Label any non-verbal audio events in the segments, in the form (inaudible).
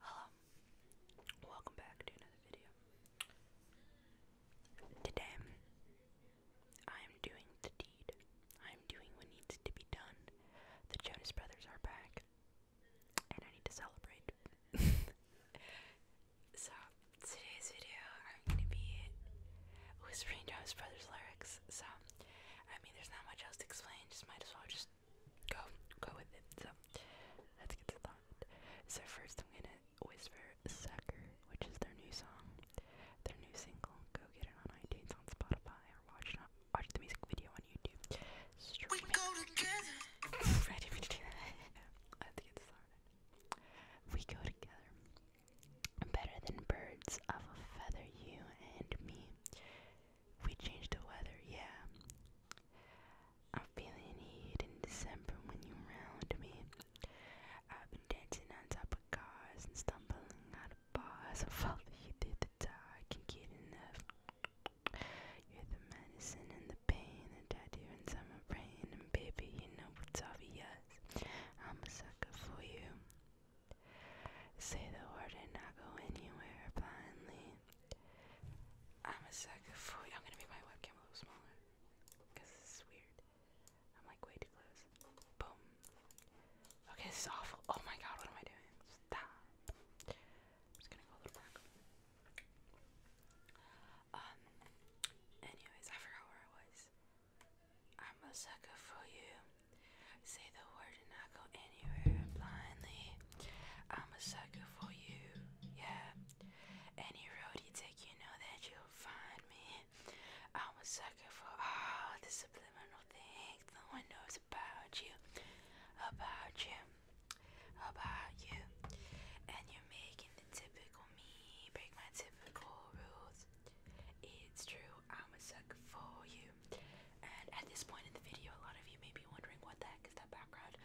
Hello, um, welcome back to another video. Today, I am doing the deed. I am doing what needs to be done. The Jonas Brothers are back, and I need to celebrate. (laughs) so, today's video, I'm gonna be whispering Jonas Brothers lyrics. So, I mean, there's not much else to explain. Just might as well just go go with it. So let's get started. So first I'm gonna whisper Sucker, which is their new song, their new single. Go get it on iTunes on Spotify or watch watch the music video on YouTube. (laughs) Ready let's get started. We go together. Better than birds of a feather, you and me. We changed the weather, yeah. I'm feeling heat in December when you're around me. I've been dancing on top of cars and stumbling out of bars. I (laughs) follow you through the dark, can get enough. You're the medicine and the pain, the tattoo inside my brain, and baby, you know it's obvious. I'm a sucker for you. Say the word and I'll go anywhere blindly. I'm a sucker for. I'm gonna make my webcam a little smaller because this weird. I'm like way too close. Boom. Okay, this is awful. Oh my god, what am I doing? Stop. I'm just gonna go a little back. Um. Anyways, I forgot where I was. I'm a sucker for you. Say the word to go anywhere blindly. I'm a sucker for you, yeah. Any road you take, you know that you'll find me. I'm a sucker for all the subliminal things no one knows about you, about you, about you. And you're making the typical me break my typical rules. It's true, I'm a sucker for you. And at this point in the video, a lot of you may be wondering what the heck is that background.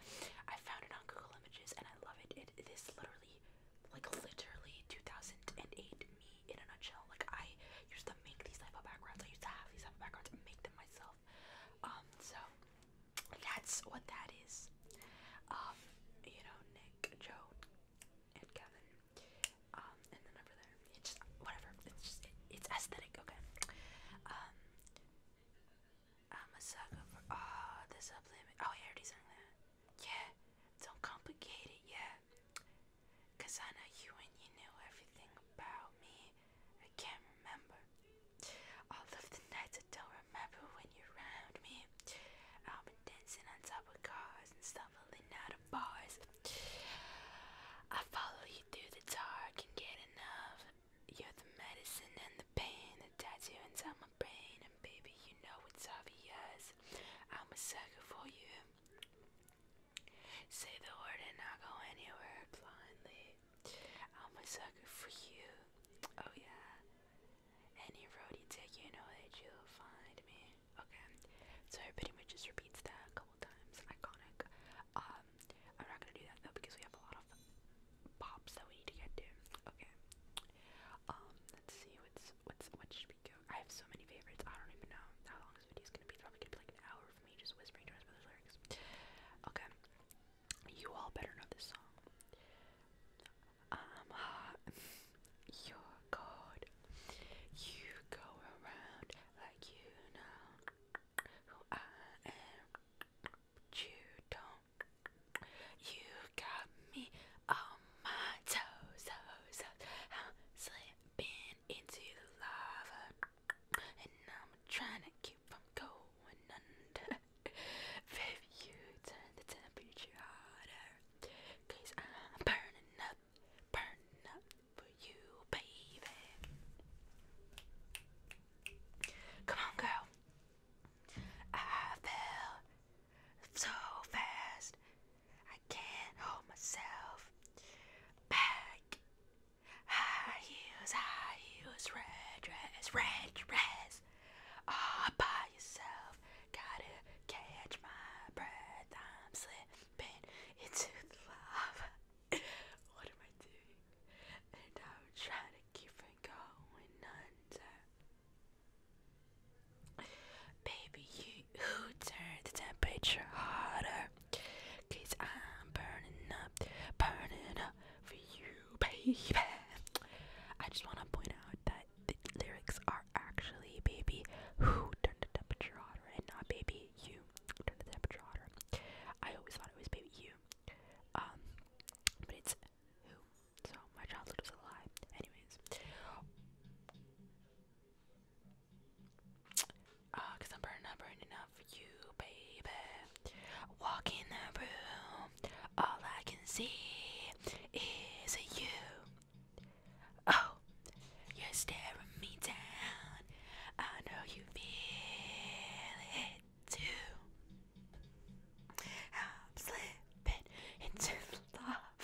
I found it on Google Images and I love it. it is literally, like literally 2008 me in a nutshell. Like I used to make these type of backgrounds. I used to have these type of backgrounds and make them myself. Um, so that's what that is. Um, you know, Nick, Joe, and Kevin. Um, and the number there. It's just, whatever. It's just, it's aesthetic, okay? Um, I'm a sucker for all the subliminal. Oh, I sang that. Yeah, don't complicate it, yeah. I know you and you knew everything about me. I can't remember. All of the nights I don't remember when you're me. I've been dancing on top of cars and stumbling out of bars. I follow you through the dark and get enough. You're the medicine and the pain that tattoo inside my brain, and baby, you know it's obvious. I'm a sucker for you. Say the word and I'll go anywhere blindly. I'm a sucker for you. Oh yeah. Any road you take, you know that you'll find me. Okay. So I pretty much just repeats that a couple times. Iconic. Um, I'm not gonna do that though because we have a lot of pops that we need to get to. Okay. Um, let's see what's what's what should we go? I have so many favorites. I don't even know how long this video is gonna be. probably gonna be like an hour for me just whispering to my brother's lyrics. Okay. You all better know this song. I'm um, hot. (laughs) You're cold. You go around like you know who I am you don't. You got me on my toes, toes, I'm slipping into the lava, and I'm trying to keep from going under. (laughs) Baby, you turn the temperature hotter, i I'm burning up, burning up for you, baby. Come on, girl. I fell so fast. I can't hold myself back. High heels, high heels, red dress, red dress. All by yourself. Gotta catch my breath. I'm slipping into the (laughs) what am I doing? And I'm trying Keep different going under. Baby, you who turn the temperature hotter? Cause I'm burning up, burning up for you, baby. I just want to point out that the lyrics are actually baby who turned the temperature hotter and not baby you turned the temperature hotter. I always thought it was baby you. Um, but it's So my childhood was a lie. Anyways. Ah, cause I'm burning up, burning up for you, baby. Walk in the room, all I can see is you. Oh, you're staring me down. I know you feel it too. I'm slipping into love.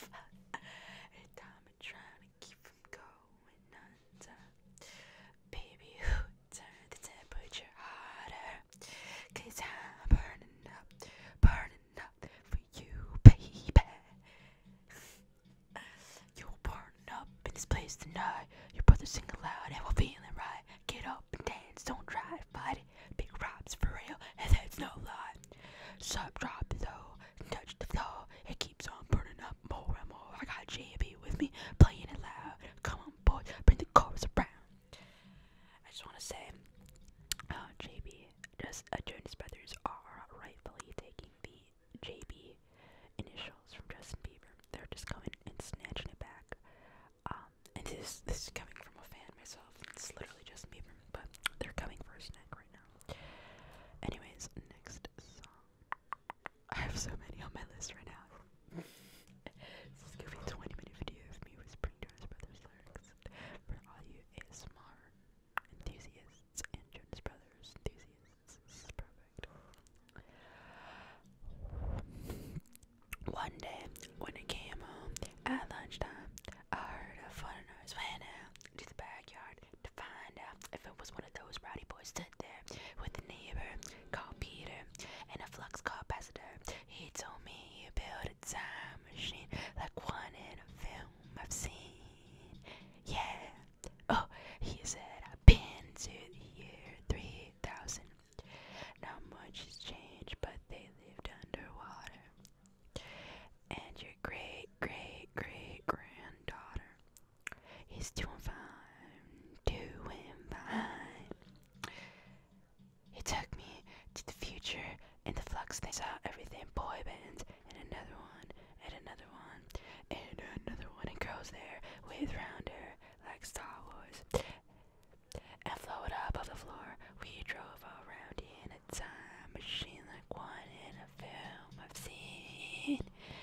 Every I'm trying to keep from going under. Baby, who turned the temperature hotter? i I'm burning up, burning up for you, baby. You're burning up in this place tonight. Your brother's singing loud and we're feeling right. Get up and dance, don't try to fight it. Big Rob's for real, (laughs) and that's no lie. Sub drop though, and touch the floor. It keeps on burning up more and more. I got JB with me, playing it loud. Come on, boys, bring the chorus around. I just want to say, uh, JB, just uh, Jonas Brothers are rightfully taking the JB initials from Justin Bieber. They're just coming and snatching it back. Um, this is, this is coming from a fan myself. It's literally just me, but they're coming for a snack right now. Anyways, next song. I have so many on my list right now. this 20 minute video of me whispering Jonas Brothers lyrics for all you ASMR enthusiasts Jonas Brothers enthusiasts. This is perfect. One day, when I came home at lunchtime, I heard a funny noise. Went out to the backyard to find out if it was one of those rowdy boys stood there with a neighbor called Peter and a flux capacitor. He told me he built a time machine like one in a film I've seen. Yeah. Oh, he said I've been to the year 3000 not much has changed, but they lived underwater. And your great, great, great granddaughter is doing fine, doing fine. He took me to the future in the flux. They saw everything boy bands, and another one, and another one, and another one, and girls there with rounder like Star Wars and floated up off the floor. We drove around in a time machine like one in a film I've seen.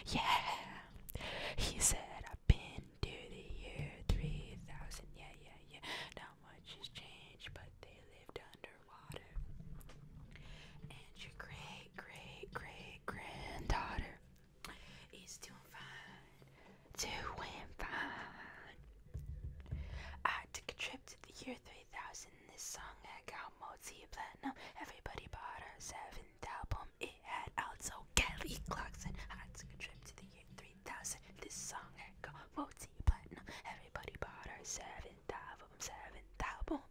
Yeah, he said, I've been to the year 3000. Yeah, yeah, yeah. Not much has changed, but they lived underwater. And your great, great, great granddaughter it's doing fine, doing fine. I took a trip to the year 3000. This song had got multi-platinum. Everybody bought her seventh album. It had also Kelly Clarkson. I took a trip to the year 3000. This song had got multi-platinum. Everybody bought her seventh album. Seventh album.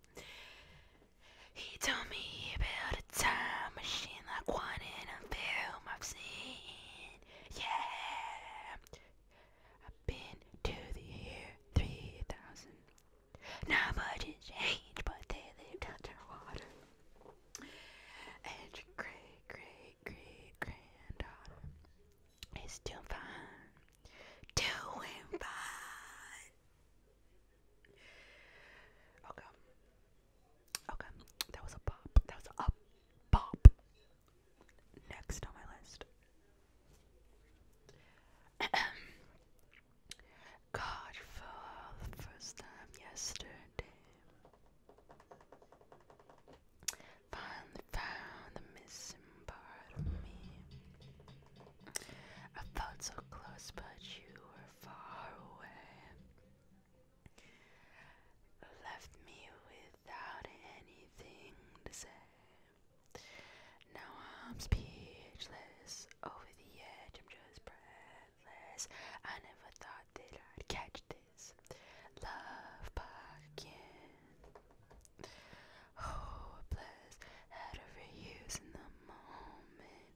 He told me about a time machine seen like one in a film I've seen. Yeah. I've been to the year 3000. Not much has changed, but they lived underwater. And your great, great, great granddaughter is doing fine. Doing fine. Okay. Okay, that was a pop. That was a pop. Next on my list. (coughs) God for the yesterday. Finally found the missing part of me. I felt so close, but you were far away left me without anything to say. Now I'm speechless, over the edge, I'm just breathless. I never thought that I'd catch this love bug again. Hopeless, had overuse in the moment.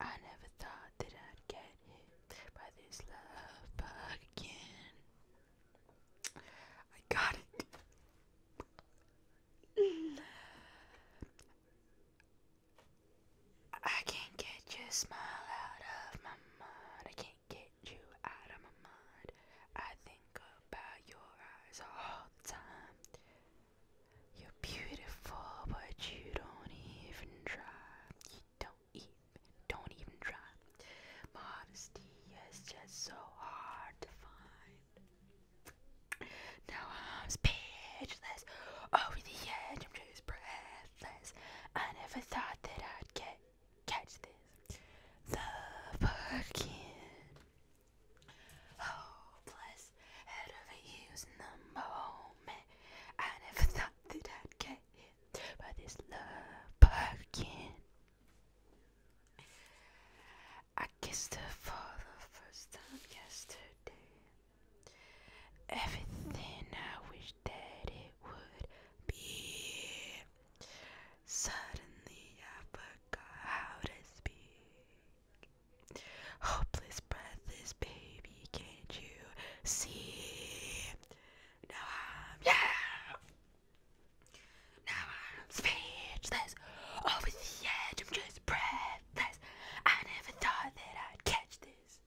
I never thought that I'd get by this love bug again. I got it. I can't get your smile out of my mind. I can't get you out of my mind. I think about your eyes all the time. You're beautiful, but you don't even try. You don't don't even try. Modesty is just so hard to find. Now I'm speechless, over the edge, I'm just breathless. I never thought that I'd get catch this. The fucking hopeless head over heels in the moment. I never thought that I'd get here by this love parking. I kissed her for the first time yesterday. Everything I wish that it would be. Suddenly I forgot how to speak. Hopeless, breathless, baby, can't you see? Now I'm yeah. Now I'm speechless, over the edge. I'm just breathless. I never thought that I'd catch this.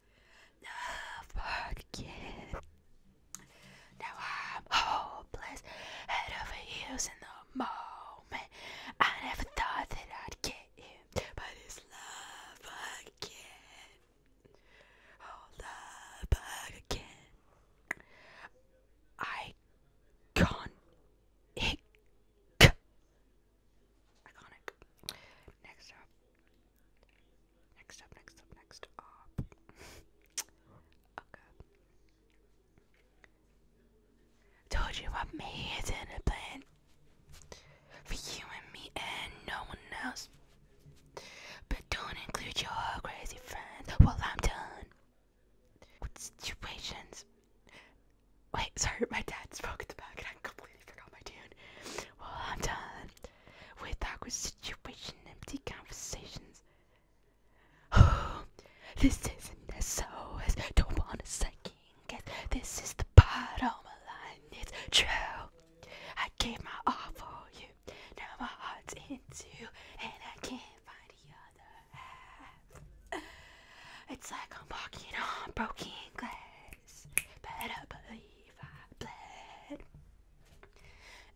Love again. Now I'm hopeless, head over heels in the moment. I never thought that I'd get him, but it's love again. Oh, love again. I iconic. Next up. Next up, next up, next up. okay. Told you I made it a plan for you and me and no one else. But don't include your crazy friends while I'm done with situations. Wait, sorry, my dad spoke at the back and I completely forgot my tune. Well, I'm done with awkward situations, empty conversations. (sighs) this isn't as SOS, don't wanna second guess. This is the part of my life, it's true. I gave my all for you. Now my heart's in and I can't find the other half. It's like I'm walking on broken glass. Better believe I bled.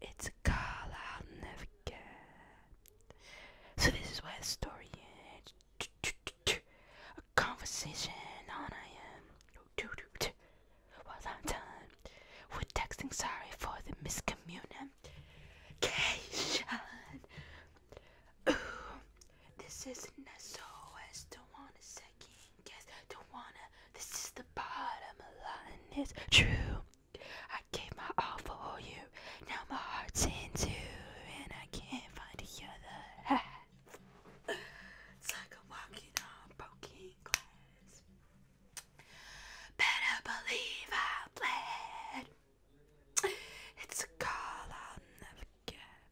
It's a call I'll never get. So this is where the story ends. A conversation on I am. Well, I'm done with texting sorry for the miscommunication. Ooh, this isn't as so don't wanna second guess, don't wanna. This is the bottom line, it's true. I gave my all for you, now my heart's in two, and I can't find the other half. it's like I'm walking on broken glass. Better believe I bled. It's a call I'll never get.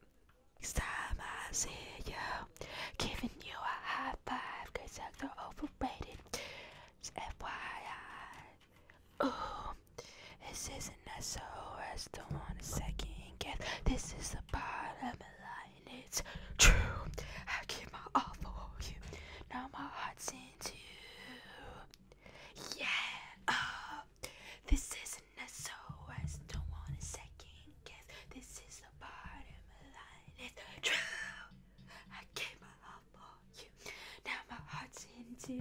Next time I see you, giving you a high five, you're overrated. FYI. Ooh, this isn't SOS, don't wanna second guess. This is a part of my life it's true. I give my all for you. Now my heart's into Yeah. Uh, this isn't a I Don't want a second guess. This is the part of my life. It's true. I gave my all for you. Now my heart's into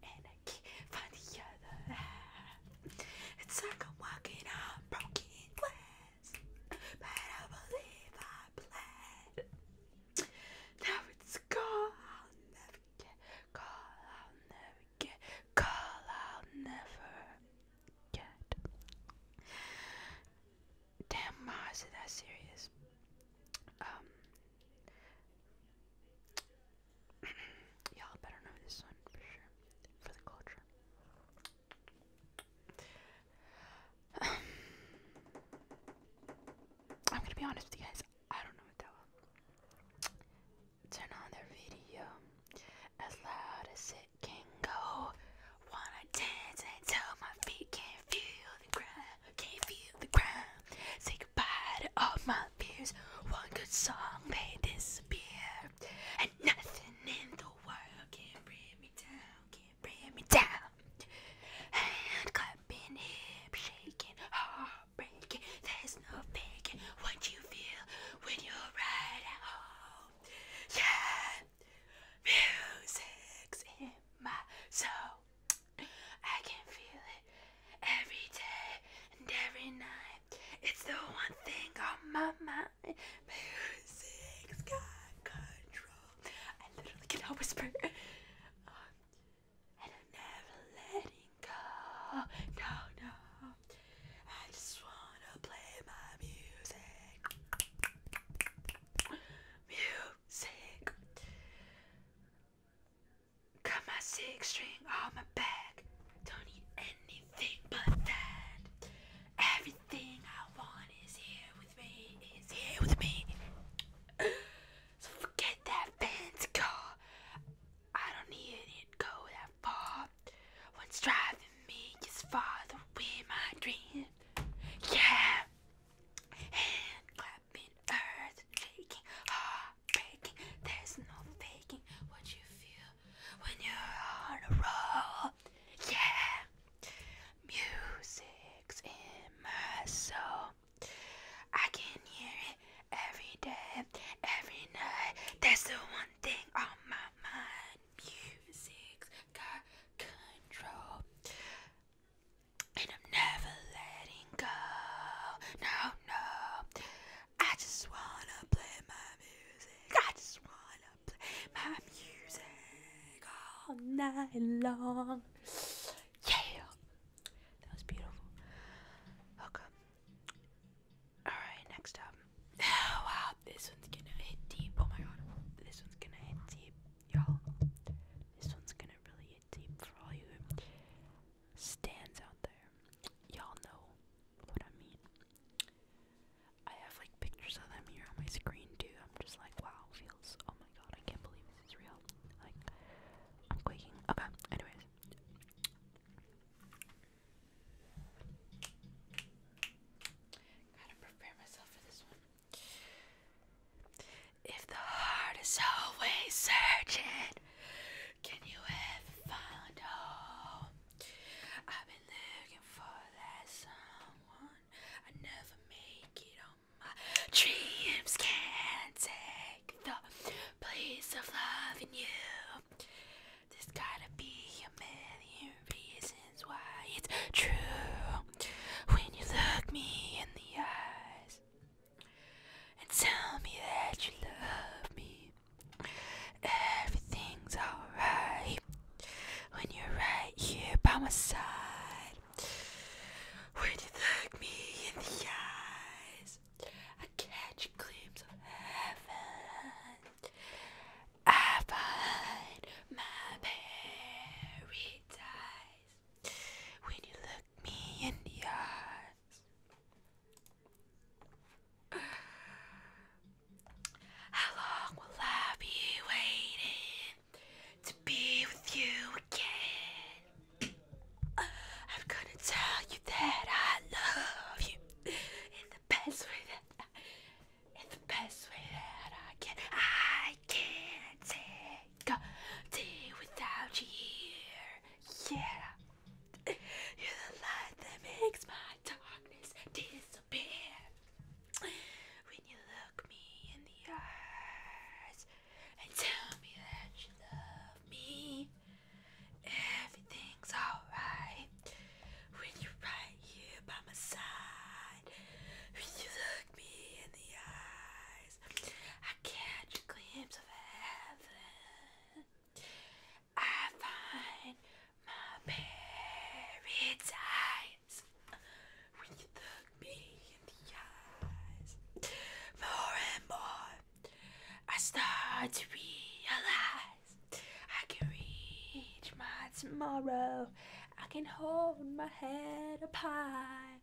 And I can't find the other half. It's like I'm walking on broken glass this, but I believe I bled. Now it's I'll never get call. I'll never get call. I'll never get. Damn, Ma, is that serious? Um, (clears throat) y'all better know this one for sure for the culture. (sighs) I'm gonna be honest with you guys. I don't know what that was. Turn on their video as loud as it can go. Wanna dance until my feet can't feel the ground. Can't feel the ground. Say goodbye to all my fears. One good song, they disappear. And nothing in the world can bring me down bring me down. Hand clapping, hip shaking, heart breaking. There's no faking what you feel when you're right at home. Yeah, music's in my soul. I can feel it every day and every night. It's the one thing on my mind. Music's got control. I literally cannot whisper. (laughs) Um, I'm never letting go. No, no. I just wanna play my music. Music. Got my six string on my back. Don't need anything but that. Every Everything I want is here with me. Is here with me. So forget that fancy car. I don't need it go that far. What's driving me is farther away my dream. Yeah. Hand clapping, earth shaking, heart breaking. There's no faking what you feel when you're on a roll. Yeah. Music's in my soul. I can hear it every day, every night. That's the one thing on my mind. Music's got control. And I'm never letting go. No, no. I just wanna play my music. I just wanna my music all night long. Yeah, that was beautiful. Okay. All right, next up. (laughs) wow, this one's gonna hit deep. Oh my god, this one's gonna hit deep, y'all. This one's gonna really hit deep for all you stands out there. Y'all know what I mean. I have like pictures of them here on my screen too. I'm just like, wow, feels. Oh my god, I can't believe this is real. Like, I'm quaking. Okay, anyways. Gotta prepare myself for this one. If the heart is always searching, can you ever find home? I've been looking for that someone I never make it on my dreams. Can't take the place of loving you. There's gotta be a million reasons why it's true. When you look me in the eyes and tell me that you love me, everything's alright when you're right here by my side. When you look me in the eyes, I catch a of heaven. I find my paradise when you look me in the eyes. How long will I be waiting? to be with you again. I'm gonna tell you that I love you in the best way that I, in the best way that I can. I can't take a day without you here. Yeah, you're the light that makes my darkness disappear disappear when you look me in the eyes and tell me that you love me. Everything's alright when you're right here by my side. When you look me in the eyes, I catch a of heaven. I find my paradise. We need the me and the eyes more and more. I start to realize I can reach my tomorrow. I can hold my head up high.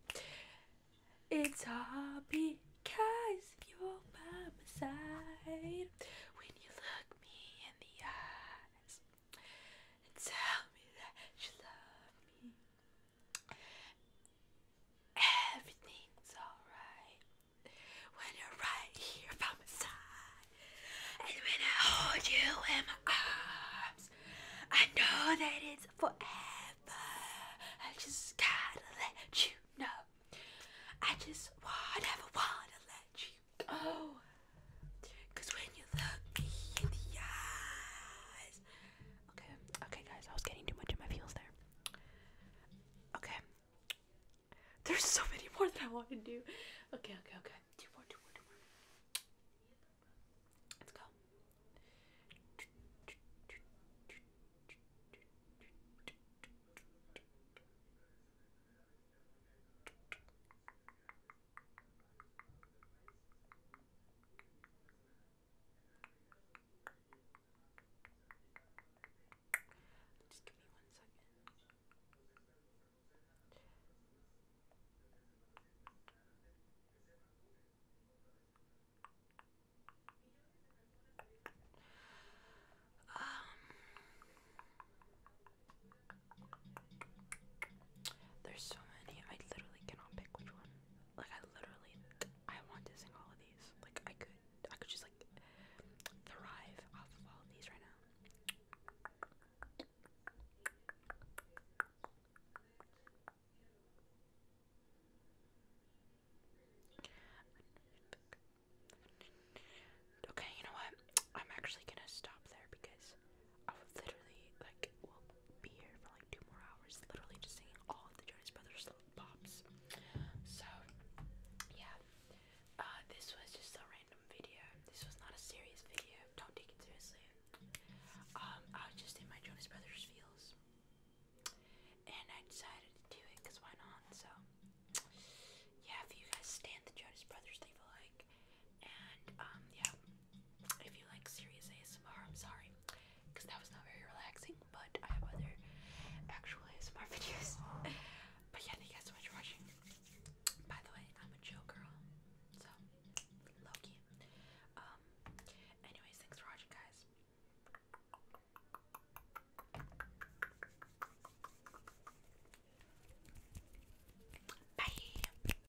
It's all because you're by my side when you look me in the eyes and tell me that you love me. Everything's alright when you're right here by my side, and when I hold you in my arms, I know that it's forever. I just gotta let you know. I just never wanna let you go. Cause when you look me in the eyes. Okay, okay guys, I was getting too much in my feels there. Okay. There's so many more that I want to do. Okay, okay, okay. Two more, two more, two more. Let's go. Just give me one second. Um there's so many. I literally cannot pick which one. Like I literally, I want to sing all of these. Like I could, I could just like thrive off of all of these right now. Okay, you know what? I'm actually gonna stop there because I would literally like be here for like two more hours, literally just singing all the Jonas Brothers pops. So yeah, uh, this was just a random video. This was not a serious video. Don't take it seriously. Um, I was just in my Jonas Brothers feels, and I decided to do it because why not? So yeah, if you guys stand the Jonas Brothers, leave a like. And um, yeah, if you like serious ASMR, I'm sorry, because that was not very relaxing. But I have other actual ASMR (laughs) videos. but yeah, thank you guys so much for watching. By the way, I'm a chill girl, so Loki. Um, anyways, thanks for watching, guys. Bye.